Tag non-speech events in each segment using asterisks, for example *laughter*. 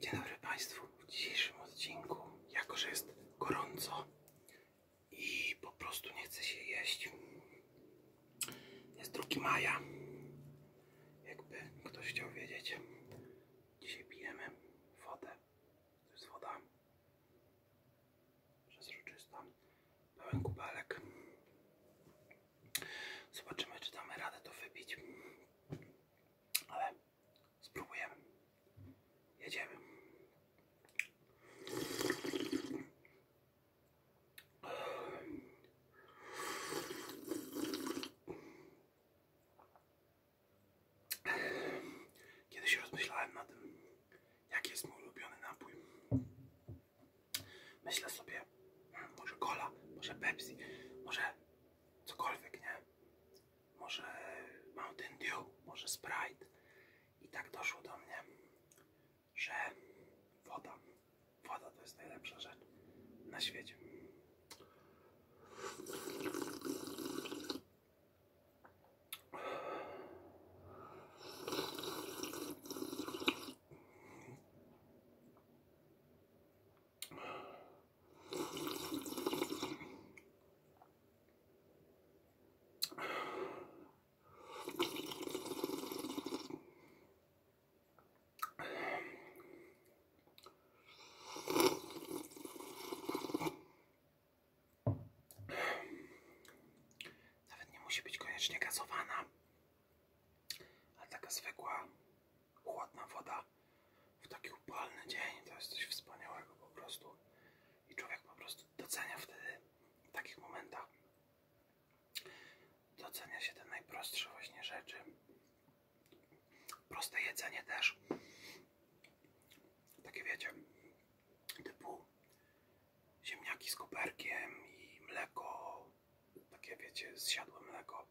Dzień dobry Państwu. W dzisiejszym odcinku, jako że jest gorąco i po prostu nie chce się jeść, jest 2 maja. Jakby ktoś chciał wiedzieć, dzisiaj pijemy wodę. To jest woda przezroczysta, pełen kubelek. Zobaczymy, czy damy radę to wybić ale spróbujemy. Jedziemy. Kiedyś rozmyślałem na tym, jaki jest mój ulubiony napój. Myślę sobie, może cola, może Pepsi, może cokolwiek, nie? Może Mountain Dew, może Sprite. I tak doszło do mnie, że woda, woda to jest najlepsza rzecz na świecie. Nawet nie musi być koniecznie gazowana. A taka zwykła, chłodna woda w taki upalny dzień to jest coś wspaniałego po prostu. I człowiek po prostu docenia wtedy w takich momentach. Docenia się te najprostsze właśnie rzeczy. Proste jedzenie też. Takie wiecie, typu ziemniaki z koperkiem i mleko, takie wiecie, z zsiadłe mleko.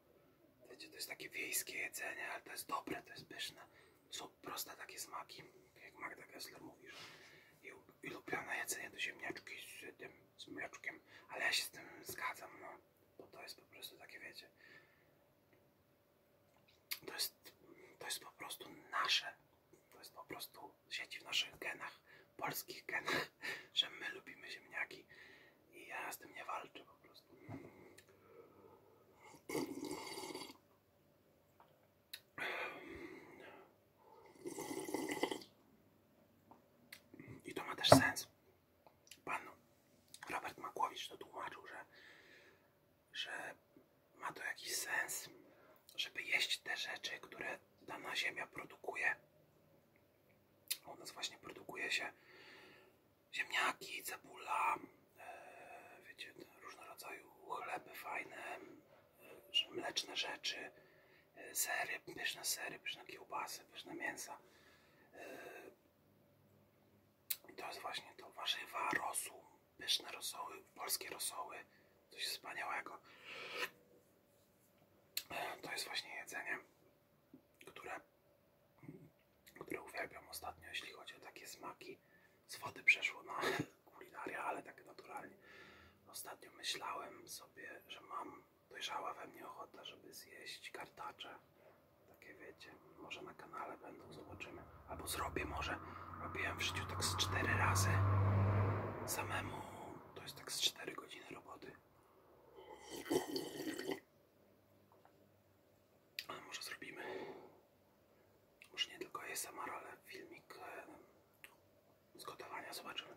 Wiecie, to jest takie wiejskie jedzenie, ale to jest dobre, to jest pyszne. Są proste takie smaki, jak Magda Gessler mówi, że jej ulubione jedzenie to ziemniaczki z tym, z mleczkiem, ale ja się z tym zgadzam, no, bo to jest po prostu takie, wiecie, to jest, to jest po prostu nasze, to jest po prostu siedzi w naszych genach, polskich genach, *laughs* że my lubimy ziemniaki i ja z tym nie walczę po prostu. I to ma też sens. Pan Robert Makłowicz to tłumaczył, że, że ma to jakiś sens, żeby jeść te rzeczy, które dana ziemia produkuje. U nas właśnie produkuje się ziemniaki, cebula, e, wiecie, różnego rodzaju chleby fajne, e, mleczne rzeczy, e, sery, pyszne sery, pyszne kiełbasy, pyszne mięsa. Yy, to jest właśnie to warzywa, rosół, pyszne rosoły, polskie rosoły, coś wspaniałego. To jest właśnie jedzenie, które, które uwielbiam ostatnio, jeśli chodzi o takie smaki. Z wody przeszło na *laughs* kulinaria, ale tak naturalnie. Ostatnio myślałem sobie, że mam dojrzała we mnie ochota, żeby zjeść kartacze. Takie wiecie, może na kanale będą, zobaczymy. Albo zrobię może robiłem w życiu tak z 4 razy. Samemu to jest tak z 4 godziny roboty. Ale może zrobimy. Może nie tylko ASMR, ale filmik e, z gotowania zobaczymy.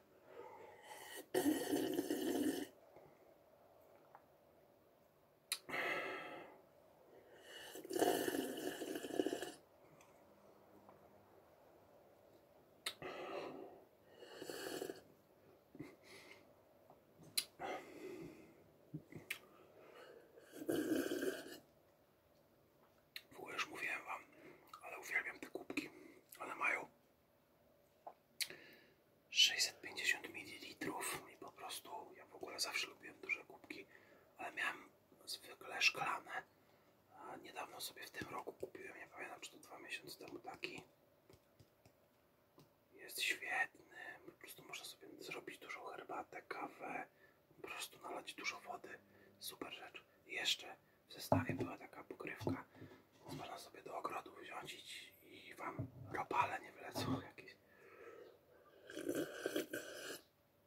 W ogóle już mówiłem wam, ale uwielbiam te kubki. One mają sześćset pięćdziesiąt ml i po prostu ja w ogóle zawsze lubiłem duże kubki, ale miałem zwykle szklane. A niedawno sobie w tym roku kupiłem, nie pamiętam czy to dwa miesiące temu taki. Jest świetny, po prostu można sobie zrobić dużą herbatę, kawę, po prostu nalać dużo wody. Super rzecz. Jeszcze w zestawie była taka pokrywka, można sobie do ogrodu wziąć i wam ropale nie wylecą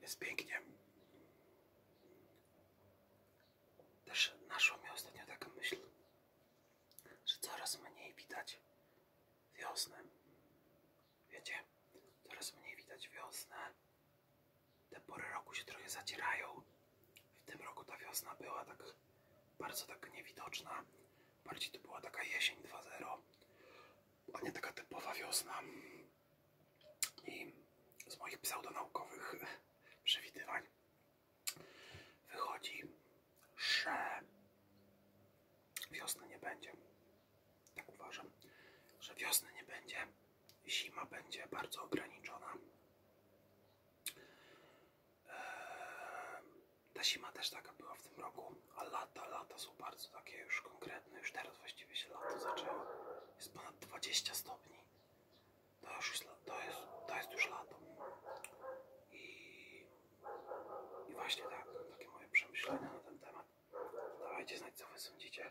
Jest pięknie. Też naszło mnie ostatnio taka myśl, że coraz mniej widać wiosnę. Wiecie, coraz mniej widać wiosnę. Te pory roku się trochę zacierają. W tym roku ta wiosna była tak bardzo tak niewidoczna. Bardziej to była taka jesień 2-0, a nie taka typowa wiosna. I z moich pseudonaukowych *laughs* przewidywań wychodzi, że wiosna nie będzie. Tak uważam, że wiosna nie będzie. Zima będzie bardzo ograniczona. Ehm, ta zima też taka była w tym roku, a lata, lata są bardzo takie już konkretne. Już teraz właściwie się lato zaczęło. Jest ponad 20 stopni. To, już, to, jest, to jest już lato. I, I właśnie tak, takie moje przemyślenia na ten temat. dajcie, znać, co wy sądzicie.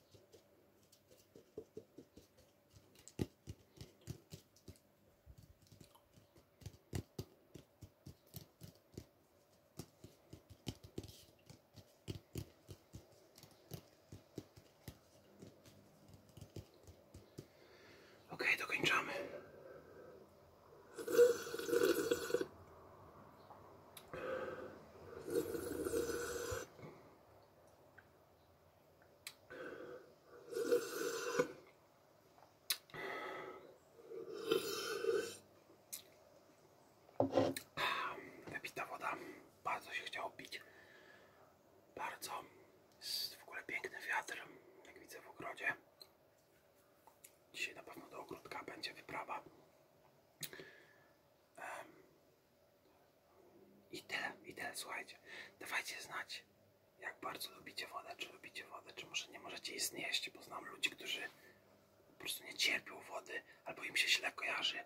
Ok, dokończamy. Wypita woda, bardzo się chciało pić, bardzo, jest w ogóle piękny wiatr, jak widzę w ogrodzie. Dzisiaj na pewno do ogródka będzie wyprawa. I tyle, i tyle, słuchajcie. Dawajcie znać, jak bardzo lubicie wodę, czy lubicie wodę, czy może nie możecie jej znieść, bo znam ludzi, którzy po prostu nie cierpią wody, albo im się źle kojarzy.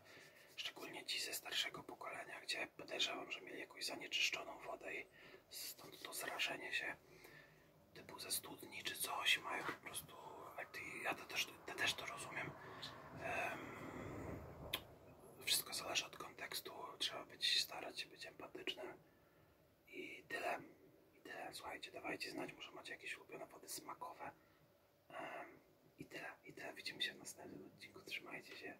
Szczególnie ci ze starszego pokolenia, gdzie podejrzewam, że mieli jakąś zanieczyszczoną wodę i stąd to zrażenie się typu ze studni czy coś, mają po prostu, ja to też, to też to rozumiem, wszystko zależy od kontekstu, trzeba być, starać się być empatycznym i tyle, i tyle, słuchajcie, dawajcie znać, może macie jakieś ulubione wody smakowe i tyle, i tyle, widzimy się w następnym odcinku, trzymajcie się,